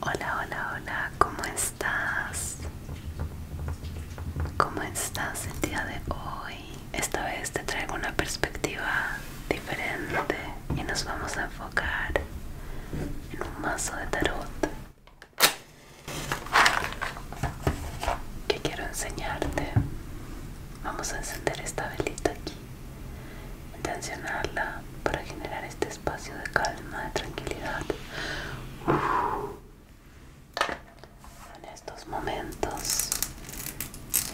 Hola, hola, hola, ¿cómo estás? ¿Cómo estás el día de hoy? Esta vez te traigo una perspectiva diferente y nos vamos a enfocar en un mazo de tarot que quiero enseñarte. Vamos a encender esta velita aquí, intencionarla para generar este espacio de calma, de tranquilidad. En estos momentos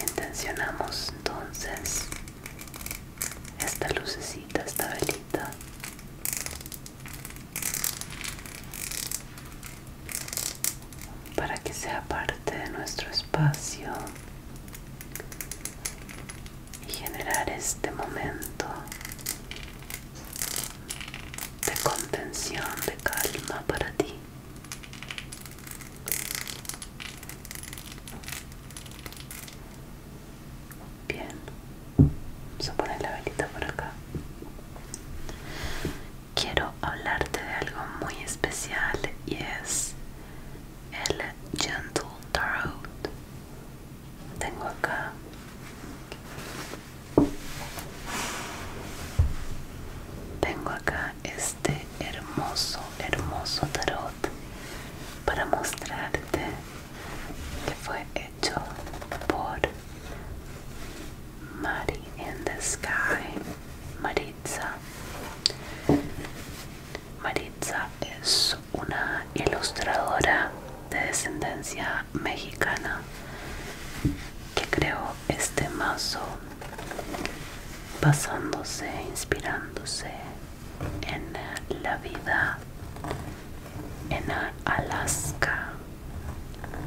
intencionamos entonces esta lucecita, esta velita para que sea parte de nuestro espacio y generar este momento de contención, de calma para ti. Bien, vamos a poner la velita por acá quiero hablarte de algo muy especial y es el Gentle Tarot. Tengo acá tengo acá este hermoso, hermoso tarot para mostrarte que fue hecho por Mary in the Sky, Maritza. Maritza es una ilustradora de descendencia mexicana que creó este mazo basándose, inspirándose en la vida en Alaska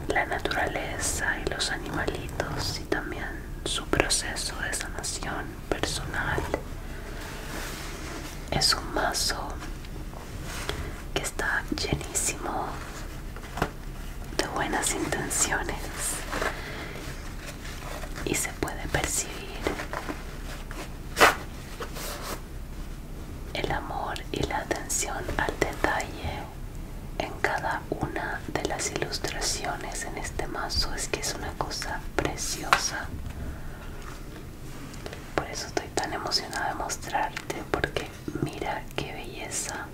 la naturaleza y los animalitos y también su proceso de sanación personal. Es un mazo que está llenísimo de buenas intenciones y se puede percibir el amor y la atención al detalle en cada una de las ilustraciones en este mazo es que es una cosa preciosa por eso estoy tan emocionada de mostrarte porque mira qué belleza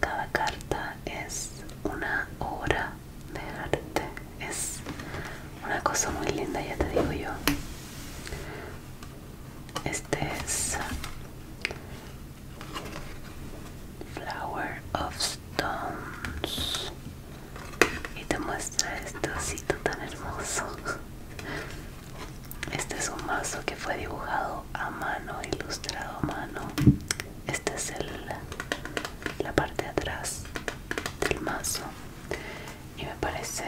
cada carta es una obra de arte es una cosa muy linda ya te digo yo este es Flower of Stones. Y te muestra este osito tan hermoso. Este es un mazo que fue dibujado a mano, ilustrado a mano. Esta es el, la parte de atrás del mazo. Y me parece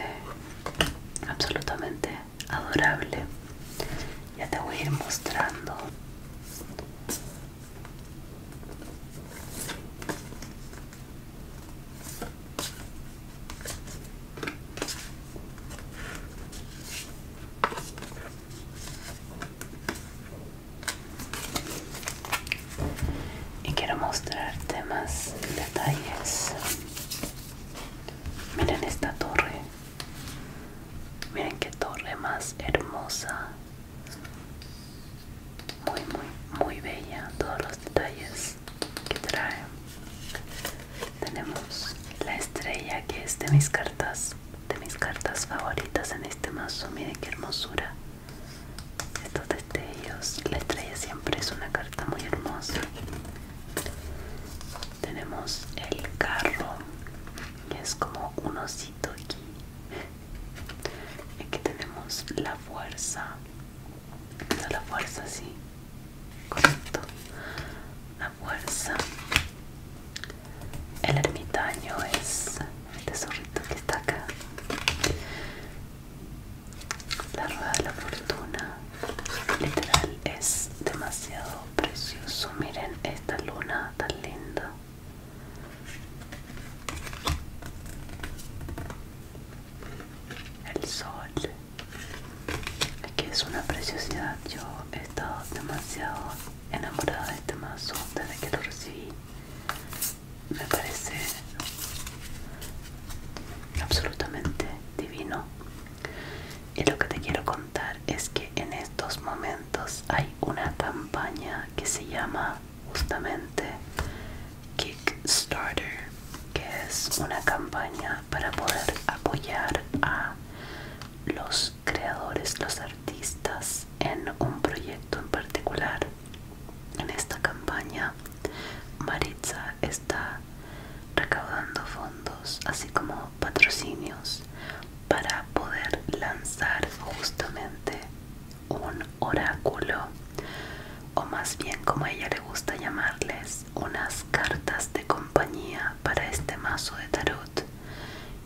absolutamente adorable ya te voy a ir mostrando y quiero mostrarte más detalles miren esta torre Miren qué torre más hermosa. Muy, muy, muy bella. Todos los detalles que trae. Tenemos la estrella que es de mis cartas, de mis cartas favoritas en este mazo. Miren qué hermosura. Estos destellos. La estrella siempre es una carta muy hermosa. Tenemos el carro, que es como un osito aquí. Aquí tenemos la fuerza. la fuerza, sí. Correcto. La fuerza. El ermitaño es el tesorito que está acá. La rueda de la fortuna. Literal es demasiado precioso. Miren esta luna tan linda. El sol. que es una preciosidad. Yo he estado demasiado enamorada de este mazo desde que lo recibí. Me parece absolutamente divino y lo que te quiero contar es que en estos momentos hay una campaña que se llama justamente Kickstarter, que es una campaña para poder apoyar a los creadores, los artistas en un proyecto en particular. En esta campaña, Maritza está recaudando fondos, así como patrocinios para poder lanzar justamente un oráculo o más bien como ella le gusta llamarles unas cartas de compañía para este mazo de tarot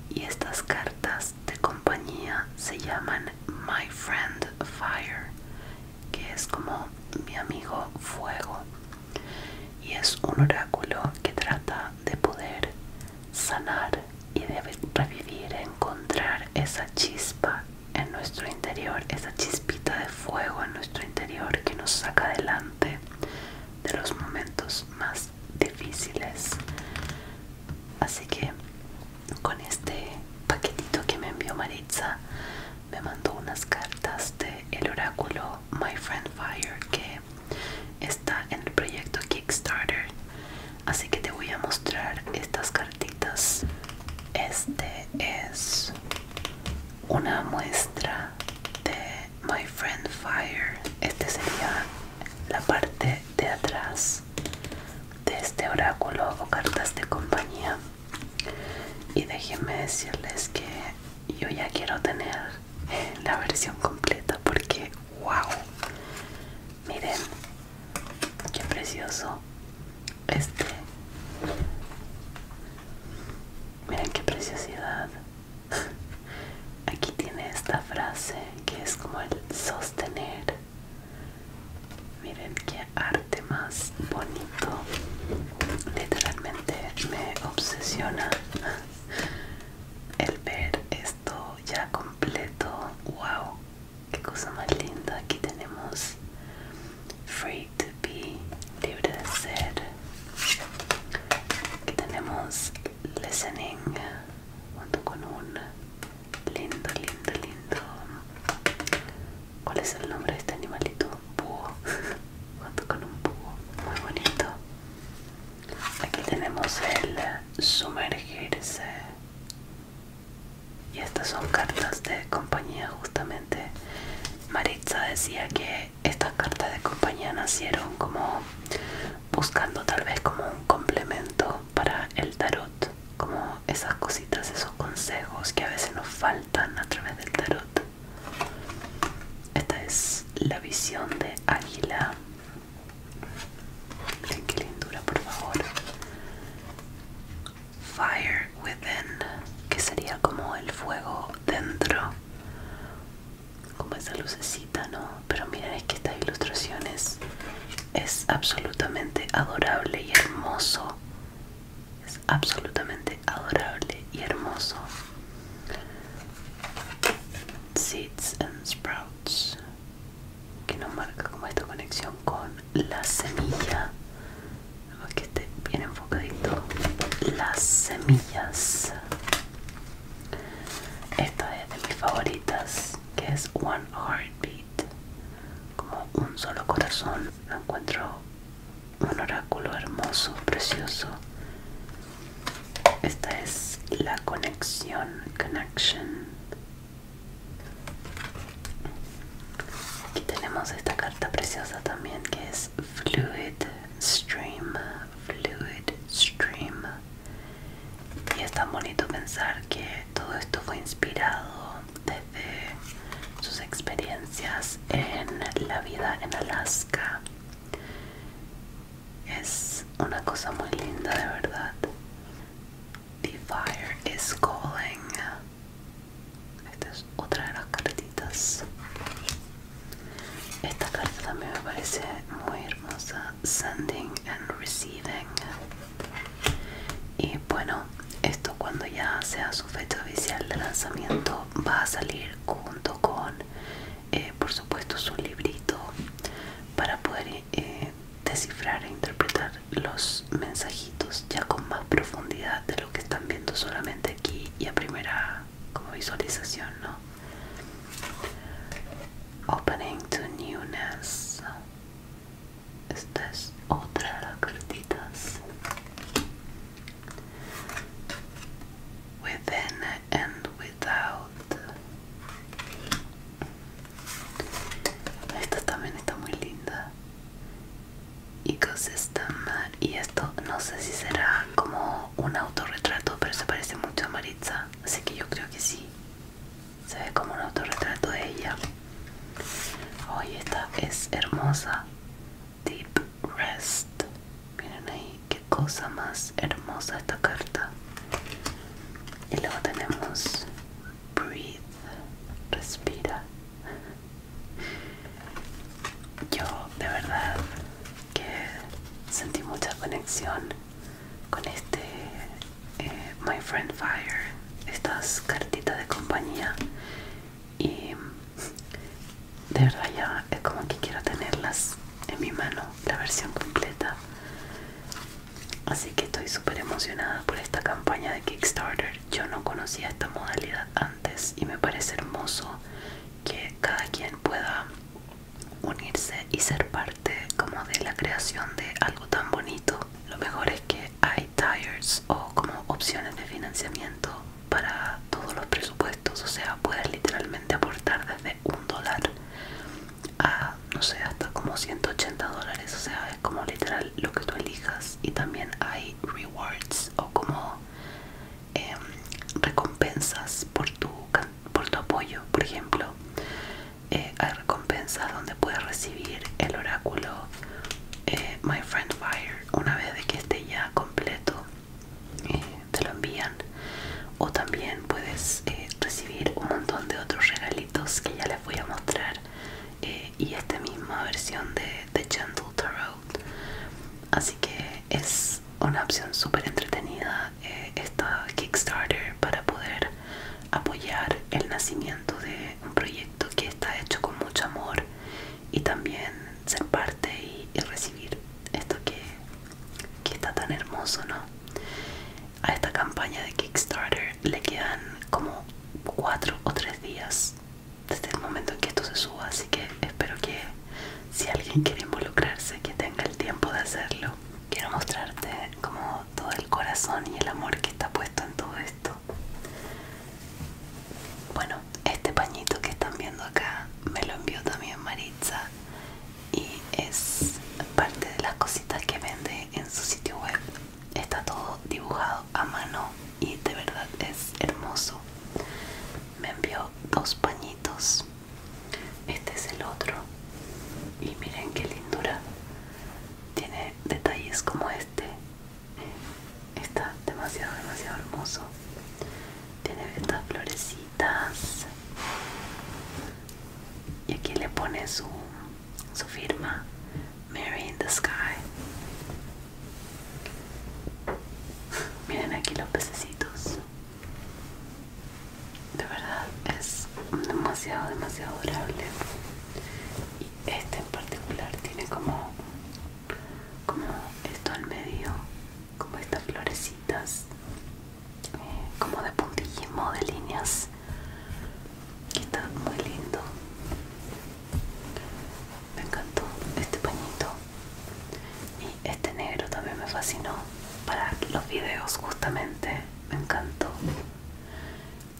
y estas cartas de compañía se llaman My Friend Fire que es como mi amigo fuego y es un oráculo que trata de poder sanar y de revivir, encontrar esa chispa en nuestro interior, esa chispita de fuego en nuestro interior que nos saca adelante de los momentos más difíciles. Así que con este paquetito que me envió Maritza, me mandó unas cartas de el oráculo My Friend Fire que está en el proyecto Kickstarter así que te voy a mostrar estas cartitas este es una muestra de My Friend Fire este sería la parte de atrás de este oráculo o cartas de compañía y déjenme decirles que yo ya quiero tener la versión completa porque wow miren qué precioso este miren qué preciosidad aquí tiene esta frase que es como el sostener miren qué arte más bonito literalmente me obsesiona el ver esto ya completo wow qué cosa más linda aquí tenemos free to be libre de ser aquí tenemos listening junto con un lindo lindo lindo cuál es el nombre de este animalito junto con un búho muy bonito Aquí tenemos el sumergirse. Y estas son cartas de compañía justamente. Maritza decía que estas cartas de compañía nacieron como buscando tal vez como un complemento para el tarot. Como esas cositas, esos consejos que a veces nos faltan a través del tarot. Esta es la visión de águila. Miren qué lindura, por favor. Fire within, que sería como el fuego dentro. Como esa lucecita, ¿no? Pero mira, es que estas ilustraciones es absolutamente adorable y hermoso. Es absolutamente adorable y hermoso. Seeds and Sprouts que nos marca como esta conexión con la semilla que esté bien enfocadito las semillas esta es de mis favoritas que es One Heartbeat como un solo corazón la encuentro un oráculo hermoso, precioso esta es la conexión, connection. Aquí tenemos esta carta preciosa también que es Fluid Stream, Fluid Stream. Y es tan bonito pensar que todo esto fue inspirado desde sus experiencias en la vida en Alaska es una cosa muy linda, de verdad. The Fire is Calling. Esta es otra de las cartitas. Esta carta también me parece muy hermosa. Sending and Receiving. Y bueno, esto cuando ya sea su fecha oficial de lanzamiento va a salir junto con eh, por supuesto su librito para poder eh, descifrar e interpretar los mensajitos ya con más profundidad de lo que están viendo solamente aquí y a primera como visualización, ¿no? Opening to newness. Esta es otra de las cartitas. Within and esta también está muy linda Ecosystem y esto no sé si será como un autorretrato pero se parece mucho a Maritza así que yo creo que sí se ve como un autorretrato de ella hoy esta es hermosa Deep Rest miren ahí qué cosa más hermosa esta carta. Y luego tenemos breathe, respira. Yo de verdad que sentí mucha conexión con este eh, My Friend Fire, estas cartitas de compañía y de verdad ya es como que quiero tenerlas en mi mano, la versión completa. Así que estoy súper emocionada por esta campaña de Kickstarter. Yo no conocía esta modalidad antes y me parece hermoso que cada quien pueda unirse y ser parte como de la creación de algo tan bonito. Lo mejor es que hay tires o como opciones de financiamiento para todos los presupuestos, o sea, puedes literalmente aportar desde un dólar a no sé hasta como 180 dólares o sea es como literal lo que tú elijas y también hay rewards o como em, recompensas por tu por tu apoyo por ejemplo eh, hay recompensas donde puedes recibir el oráculo eh, my friend fire una vez de que esté ya completo te lo envían o también puedes eh, recibir un montón de otros regalitos que ya les voy a mostrar eh, y esta misma versión de The Gentle Tarot así que es una opción súper entretenida eh, esta Kickstarter para poder apoyar el nacimiento de un proyecto que está hecho con mucho amor y también ser parte y recibir esto que, que está tan hermoso, ¿no? A esta campaña de Kickstarter le quedan como 4 o 3 días desde el momento en que esto se suba, así que espero que si alguien quiere involucrarse, que tenga el tiempo de hacerlo. Quiero mostrarte como todo el corazón y el amor que está puesto en todo esto. Bueno, este pañito que están viendo acá me lo envió también Maritza y es parte de las cositas que vende en su sitio web está todo dibujado a mano y de verdad es hermoso me envió dos pañitos este es el otro y miren qué lindura tiene detalles como este está demasiado demasiado hermoso tiene estas florecita y aquí le pone su, su firma Mary in the Sky miren aquí los pececitos de verdad es demasiado demasiado adorable y este en particular tiene como como esto al medio como estas florecitas eh, como de puntillismo de líneas está muy lindo me encantó este pañito y este negro también me fascinó para los videos justamente me encantó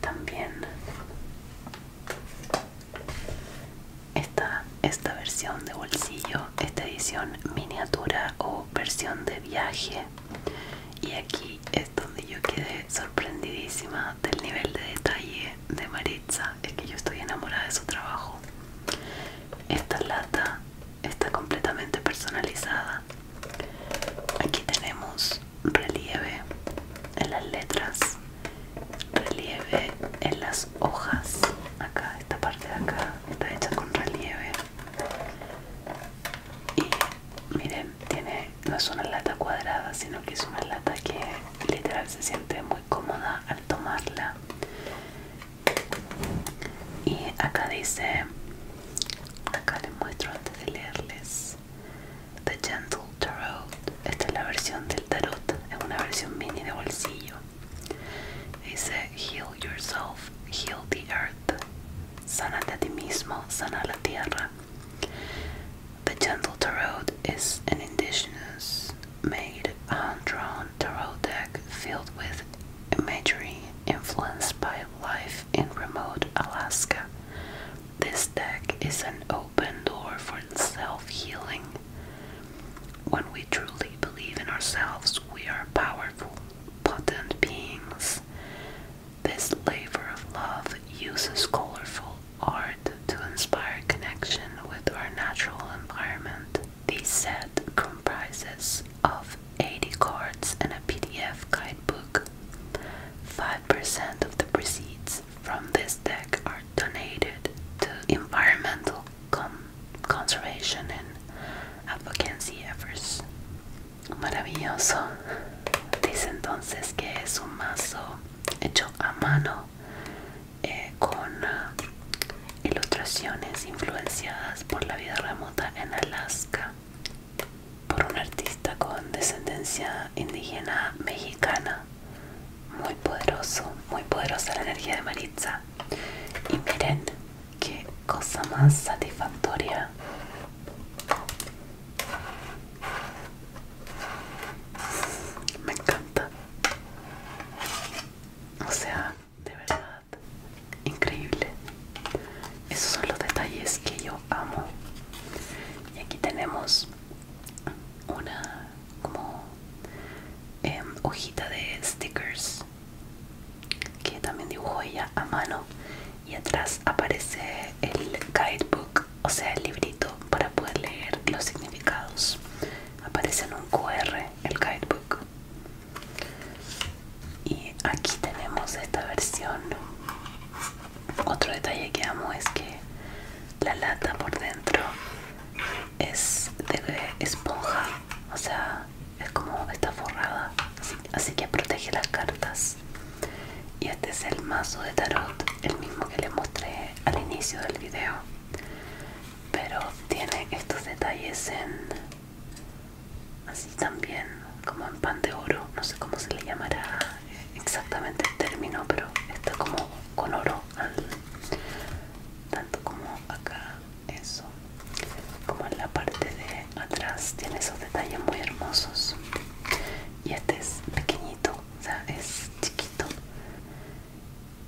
también esta, esta versión de bolsillo esta edición miniatura o versión de viaje y aquí es donde yo quedé sorprendidísima del nivel de detalle de Maritza es que yo estoy enamorada de su trabajo esta lata está completamente personalizada aquí tenemos relieve en las letras relieve en las hojas acá esta parte de acá está hecha con relieve y miren, tiene, no es una lata cuadrada, sino que es una lata que literal se siente muy cómoda al tomarla. Y acá dice, acá les muestro antes de leerles, The Gentle Tarot. Esta es la versión del tarot, es una versión mini de bolsillo. He said, heal yourself, heal the earth. Sanate a ti mismo, sana la tierra. The gentle tarot is an indigenous made hand-drawn tarot deck filled with imagery influenced by life in remote Alaska. This deck is an open door for self-healing. When we truly believe in ourselves, we are powerful potent beings. This labor of love uses colorful art to inspire connection with our natural environment. The set comprises of 80 cards and a PDF guidebook. 5% of the proceeds from this deck are donated to environmental com conservation and advocacy efforts. Maravilloso. Dice entonces que es un mazo hecho a mano eh, con uh, ilustraciones influenciadas por la vida remota en Alaska por un artista con descendencia indígena mexicana. Muy poderoso, muy poderosa la energía de Maritza. Y miren, qué cosa más satisfactoria me encanta o sea de verdad increíble esos son los detalles que yo amo y aquí tenemos una como em, hojita de stickers que también dibujó ella a mano y atrás aparece el guidebook o sea el librito para poder leer los significados aparece en un QR el guidebook y aquí tenemos esta versión otro detalle que amo es que la lata por dentro es de esponja o sea es como está forrada, así, que protege las cartas. Y este es el mazo de tarot, el mismo que les mostré al inicio del video. Pero tiene estos detalles en así también, como en pan de oro, no sé cómo se le llamará exactamente el término, pero está como con oro tanto como acá eso como en la parte de atrás tiene esos detalles muy hermosos y este es pequeñito o sea es chiquito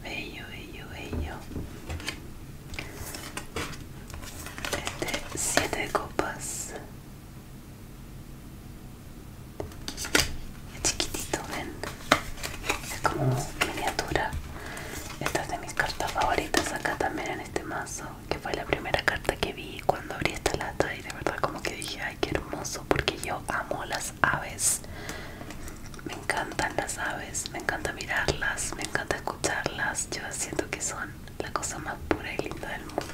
bello bello bello este 7 copas es chiquitito ven es como miniatura estas de mis cartas favoritas acá también en este mazo, que fue la primera carta que vi cuando abrí esta lata y de verdad como que dije, ay, qué hermoso, porque yo amo las aves. Me encantan las aves, me encanta mirarlas, me encanta escucharlas, yo siento que son la cosa más pura y linda del mundo.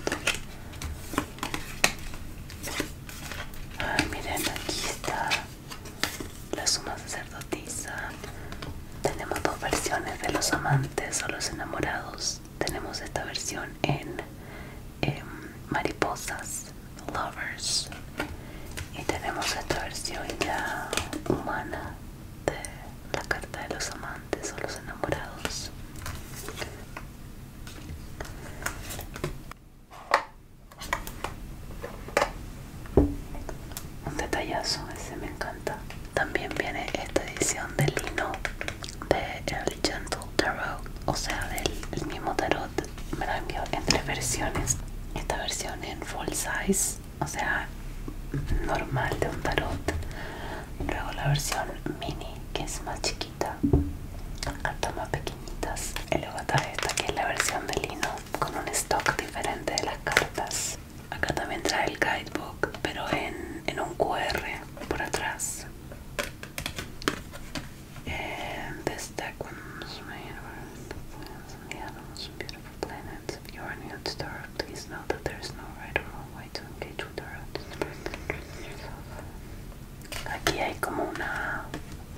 Ay, miren, aquí está la suma de tenemos dos versiones de los amantes o los enamorados. Tenemos esta versión en, en mariposas, lovers. Y tenemos esta versión ya humana de la carta de los amantes o los enamorados. Un detallazo, ese me encanta. También viene esta edición de lino de el Gentle Tarot, o sea, del mismo tarot. Me la envió en tres versiones. Esta versión en full size, o sea, normal de un tarot. Luego la versión mini, que es más chiquita, hasta más pequeñitas. Y luego está esta, que es la versión de lino, con un stock diferente de las cartas. Acá también trae el guidebook, pero en, en un QR por atrás. And this deck was made universe the and the animals beautiful planets. If you are new to please know that there is no right or wrong way to engage with Tarot. Aquí hay como una,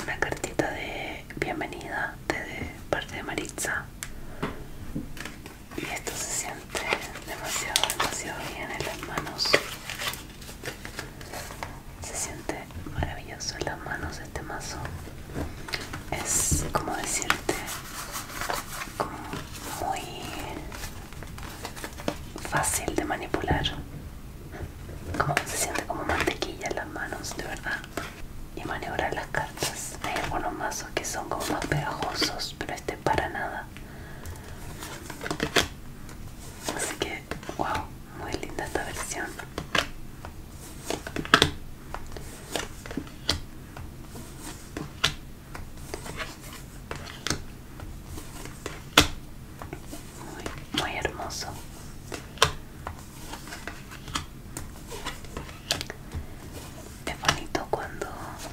una cartita de bienvenida de parte de Maritza y esto se siente demasiado demasiado bien en las manos se siente maravilloso en las manos este mazo es como decirte muy fácil de manipular como se siente como mantequilla en las manos de verdad y maniobrar las caras hay algunos mazos que son como más pegajosos, pero este para nada. Así que, wow, muy linda esta versión. muy hermoso es bonito cuando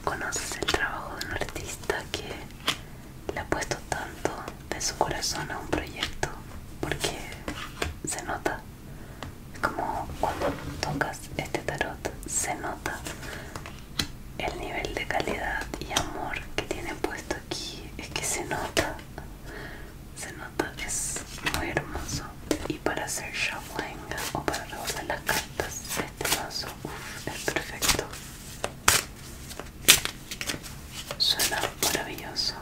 conoces el trabajo de un artista que le ha puesto tanto de su corazón a un proyecto porque se nota. Es como cuando tocas este tarot, se nota el nivel de calidad y amor que tiene puesto aquí. Es que se nota, se nota, es muy hermoso. Y para hacer shawanga o para rebosar la cara. Entonces este paso uf, es perfecto. Suena maravilloso.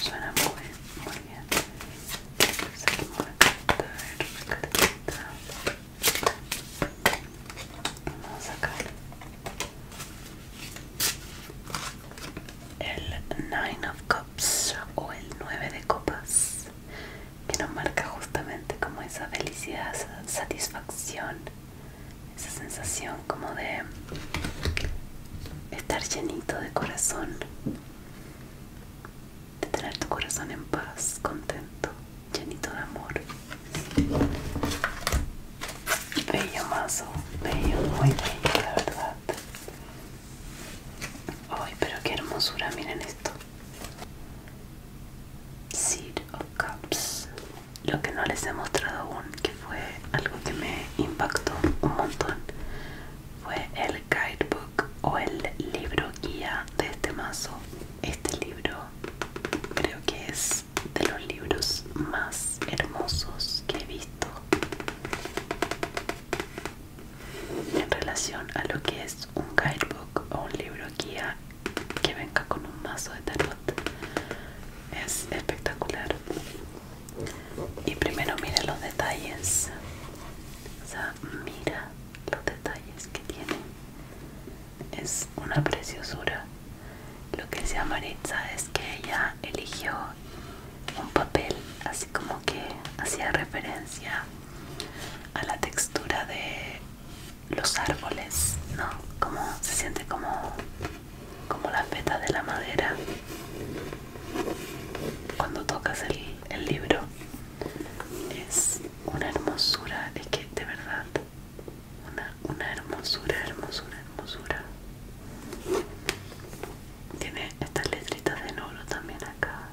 Suena muy, bien, muy bien. Saquemos la carta, a ver la cartita. Vamos a sacar el Nine of Cups o el 9 de copas que nos marca justamente como esa felicidad, esa satisfacción, esa sensación como de estar llenito de corazón, de tener tu corazón en paz, contento, llenito de amor. Bello mazo, bello, muy bello la verdad. Ay, pero qué hermosura, miren esto. Seed of Cups. Lo que no les he mostrado aún, que fue algo que me impactó un montón, fue el guidebook o el libro guía de este mazo. Este libro creo que es de los libros más hermosos que he visto en relación a lo que es un guidebook o un libro guía que venga con un mazo de tarot es espectacular y primero mire los detalles o sea mira los detalles que tiene es una preciosura lo que se Maritza es que ella eligió un papel así como que hacía referencia a la textura de los árboles, ¿no? Como se siente como, como la feta de la madera cuando tocas el, libro. Es una hermosura, de que de verdad, una, una hermosura, hermosura, hermosura. Tiene estas letritas de oro también acá.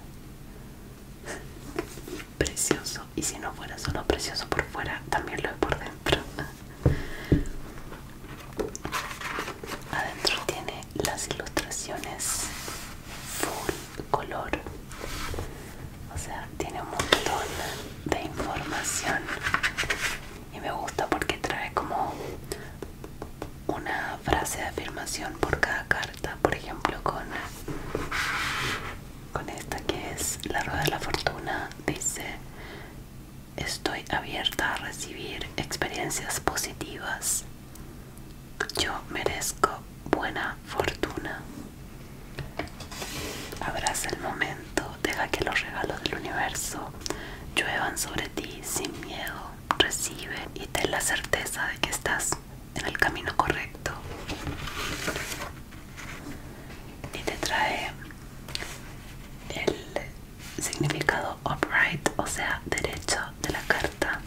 Precioso. Y si no fuera solo precioso por fuera, también lo es por dentro. Adentro tiene las ilustraciones full color. O sea, tiene un montón de información. Y me gusta porque trae como una frase de afirmación por cada carta, por ejemplo con, con esta que es la rueda de la fortuna, dice estoy abierta a recibir experiencias positivas, yo merezco buena fortuna. Abraza el momento, deja que los regalos del universo lluevan sobre ti sin miedo recibe y ten la certeza de que estás en el camino correcto y te trae el significado upright o sea derecho de la carta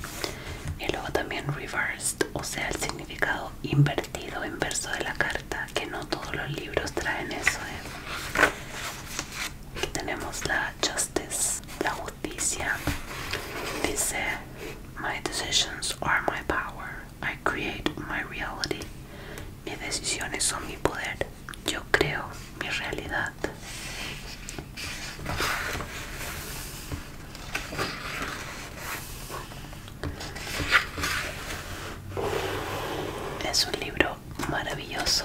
y luego también reversed o sea el significado invertido inverso de la carta que no todos los libros traen eso ¿eh? Aquí tenemos la Just Justice, la justicia, dice, my decisions are my power, I create my reality. Mis decisiones son mi poder, yo creo mi realidad. Es un libro maravilloso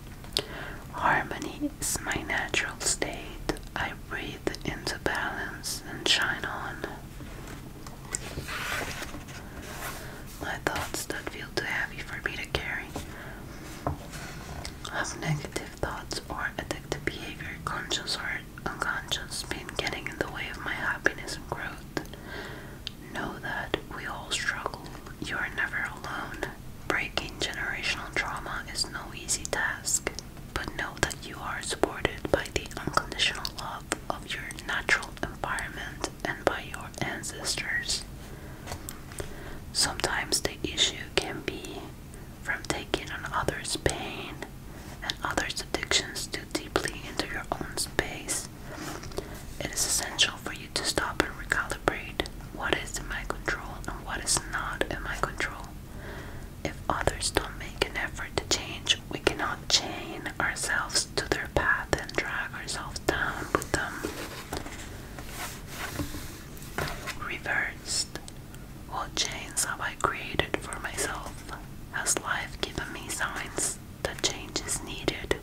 Harmony is my natural state. I breathe into balance and shine on. My thoughts that feel too heavy for me to carry. Have negative thoughts or addictive behavior, conscious or unconscious, been getting in the way of my happiness and growth. Know that we all struggle. You are never alone. Breaking generational trauma is no easy task, but know that you are supported by the unconditional love of your natural environment and by your ancestors. Sometimes the issue can be from taking on others' pain and others' addictions too deeply into your own space. It is essential for you to stop and recalibrate what is in my control and what is not in my control. If others don't make an effort to change, we cannot chain ourselves to their path and drag ourselves down with them. Reversed. What chains have I created for myself? Has life given me signs that change is needed?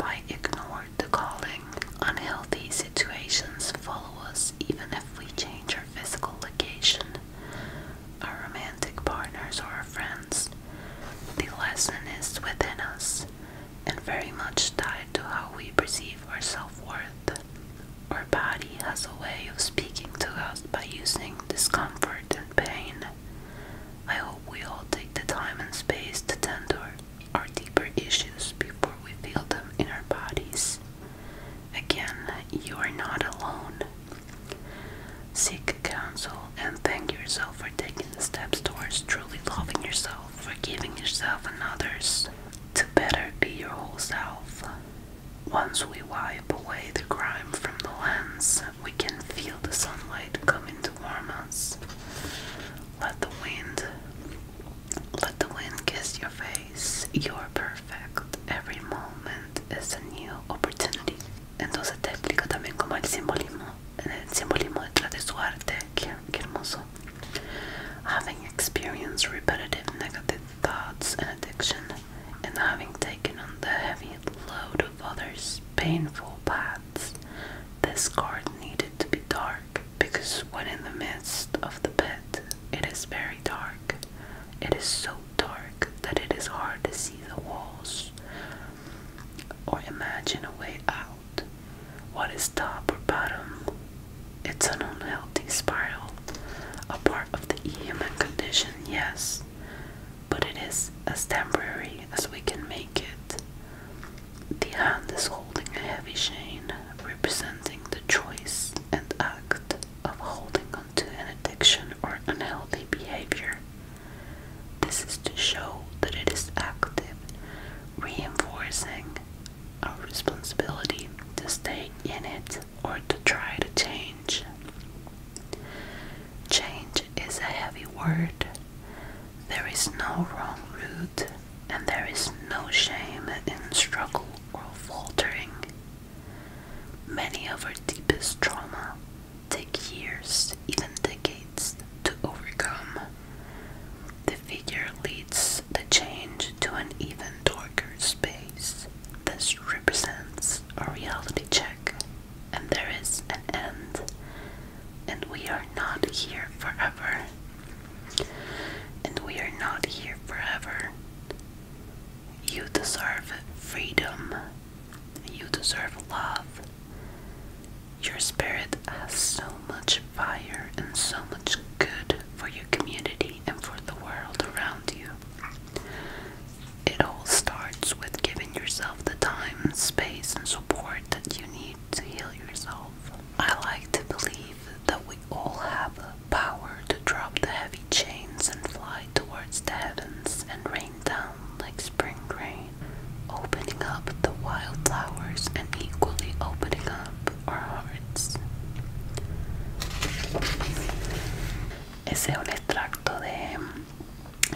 I ignored the calling. Unhealthy situations follow us even if we change our physical location, our romantic partners, or our friends. The lesson is within us and very much tied to how we perceive our self worth. Our body has a way of speaking to us by using discomfort and pain. I hope we all take the time and space to tend our deeper issues before we feel them in our bodies. Again, you are not alone. Seek counsel and thank yourself for taking the steps towards truly loving yourself, forgiving yourself and others, to better be your whole self. Once we wipe away the grime from the lens, we can feel the sunlight coming to warm us. Let the wind let the wind kiss your face. You're perfect. Every moment is a new opportunity. Entonces te también como el simbolismo, el simbolismo detrás de su Qué, qué hermoso. Having experienced repetitive negative thoughts and addiction, and having taken on the heavy load of others' painful paths, this card needed to be dark because when in the midst of the pit, it is very dark. It is so dark that it is hard to see the walls or imagine a way out. What is top or bottom? It's an unhealthy spiral, a part of the human condition, yes, but it is as temporary as we can make it. The hand is holding a heavy chain representing the choice and act of holding on to an addiction or unhealthy behavior. This is to show that it is active, reinforcing our responsibility to stay in it or to try to change. Change is a heavy word there is no wrong route, and there is no shame in struggle or faltering. Many of our deepest trauma take years, even decades, to overcome. The figure leads the change to an even darker space. This represents a reality check, and there is an end, and we are not here forever. And we are not here forever. You deserve freedom. You deserve love. Your spirit has so much fire and so much good for your community and for the world around you. It all starts with giving yourself the time, space, and support that you need to heal yourself. I like to believe that we all have power to drop the heavy chains and fly towards the heavens and rain down like spring rain, opening up the wildflowers and equally opening up our hearts. Ese es un extracto de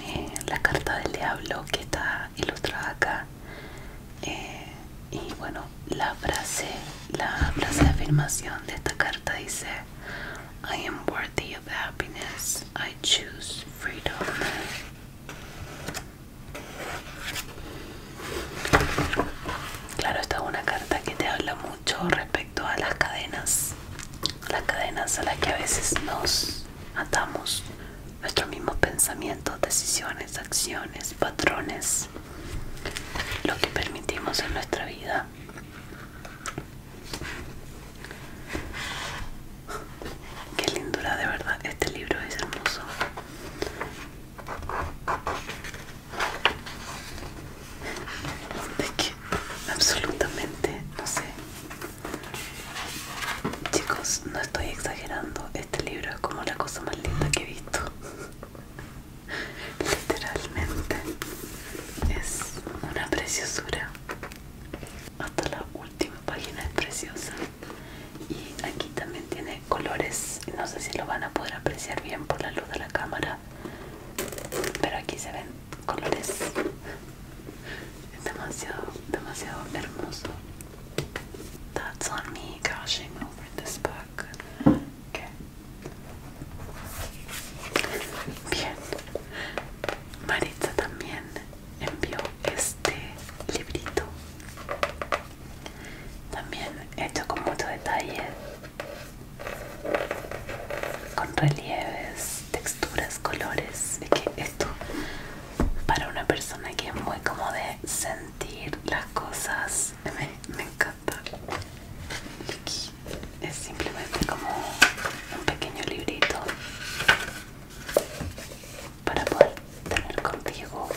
eh, la carta del diablo que está ilustrada Eh, y bueno la frase la frase de afirmación de esta carta dice I am worthy of happiness I choose freedom claro esta es una carta que te habla mucho respecto a las cadenas las cadenas a las que a veces nos atamos nuestros mismos pensamientos decisiones, acciones, patrones, lo que permitimos en nuestra vida. Qué lindura de verdad, este libro es hermoso. De que absolutamente, no sé. Chicos, no estoy exagerando, este libro es como la cosa más linda que he visto. Literalmente es una preciosura. Hasta la última página es preciosa. Y aquí también tiene colores. No sé si lo van a poder apreciar bien por la luz de la cámara. Pero aquí se ven colores. Es demasiado, demasiado hermoso. That's on me over this book. Bien. Maritza también envió este librito. También hecho con mucho detalle. Con relieves, texturas, colores. Es que esto para una persona que es muy como de sentir las cosas me, me encanta es simplemente como un pequeño librito para poder tener contigo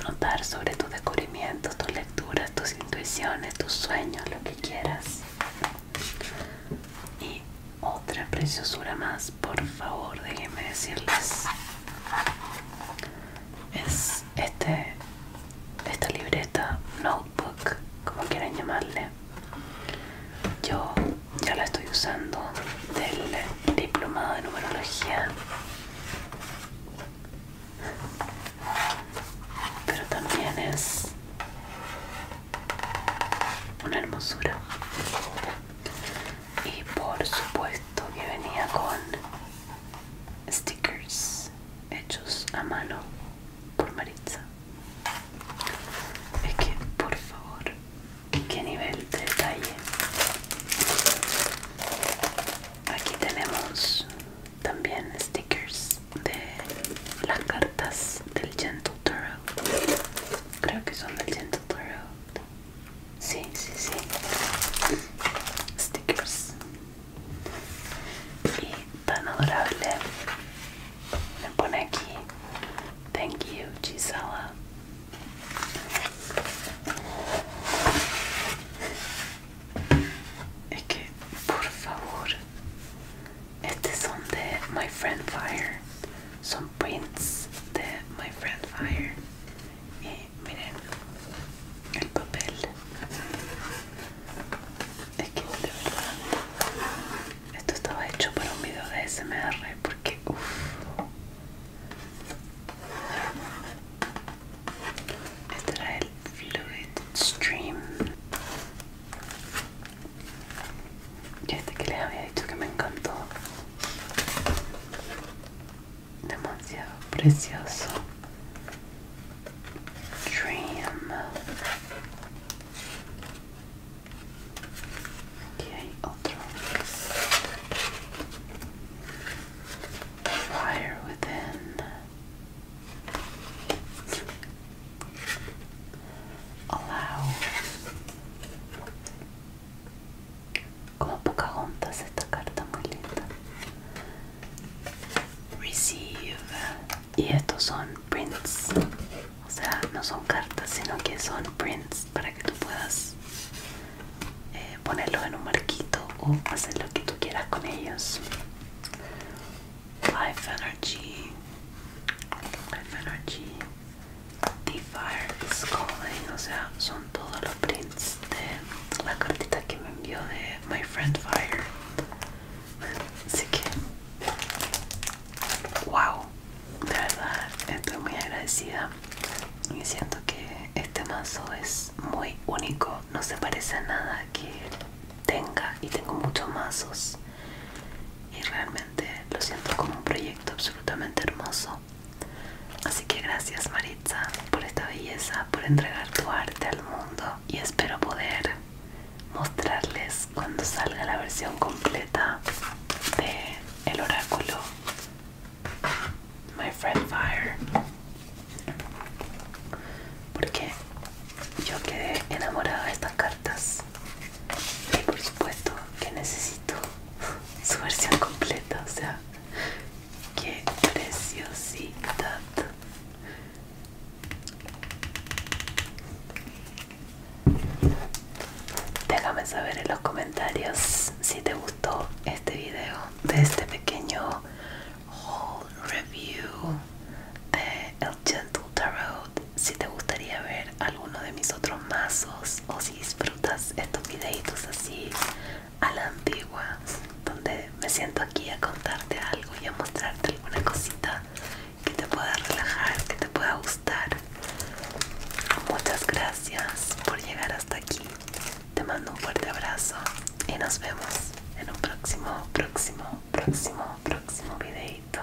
anotar sobre tus descubrimientos tus lecturas tus intuiciones tus sueños lo que quieras y otra preciosura más por favor, déjenme decirles. Es este, esta libreta, notebook, como quieran llamarle. Yo ya la estoy usando del diplomado de numerología. Pero también es una hermosura y por supuesto que venía con stickers hechos a mano por Maritza es que por favor qué nivel de detalle aquí tenemos también stickers de las cartas del Gentle Tarot creo que son del Gentle Tarot Sí, sí, sí. Stickers. Y tan adorable. Me pone aquí. Thank you, Gisela. Es que, por favor, estos son de My Friend Fire. Son prints de My Friend Fire. y eh, miren el papel es que de verdad esto estaba hecho para un video de SMR porque uff este era el Fluid Stream y este que les había dicho que me encantó demasiado precioso Dream aquí hay Fire Within Allow Como poca esta carta muy linda. Receive. Y estos son prints. O sea, no son cartas, sino que son prints para que tú puedas eh, ponerlos en un marquito o hacer lo que tú quieras con ellos. Life Energy. Life Energy. The Fire is Calling, o sea, son todos los prints de la cartita que me envió de My Friend Fire. Así que, wow, de verdad estoy muy agradecida y siento que este mazo es muy único, no se parece a nada que tenga y tengo muchos mazos y realmente lo siento como un proyecto absolutamente hermoso Así que gracias Maritza por esta belleza, por entregar tu arte al mundo y espero poder mostrarles cuando salga la versión completa de El oráculo My Friend Fire. Porque yo quedé enamorada de estas cartas y por supuesto que necesito su versión completa, o sea, Qué preciosidad. Déjame saber en los comentarios si te gustó este video de este pequeño haul review de El Gentle Tarot. Si te gustaría ver alguno de mis otros mazos o si disfrutas estos videitos así a la antigua donde me siento aquí a contarte algo y a mostrarte alguna cosita que te pueda relajar, que te pueda gustar. Muchas gracias por llegar hasta aquí. Te mando un fuerte abrazo y nos vemos en un próximo, próximo, próximo, próximo videito.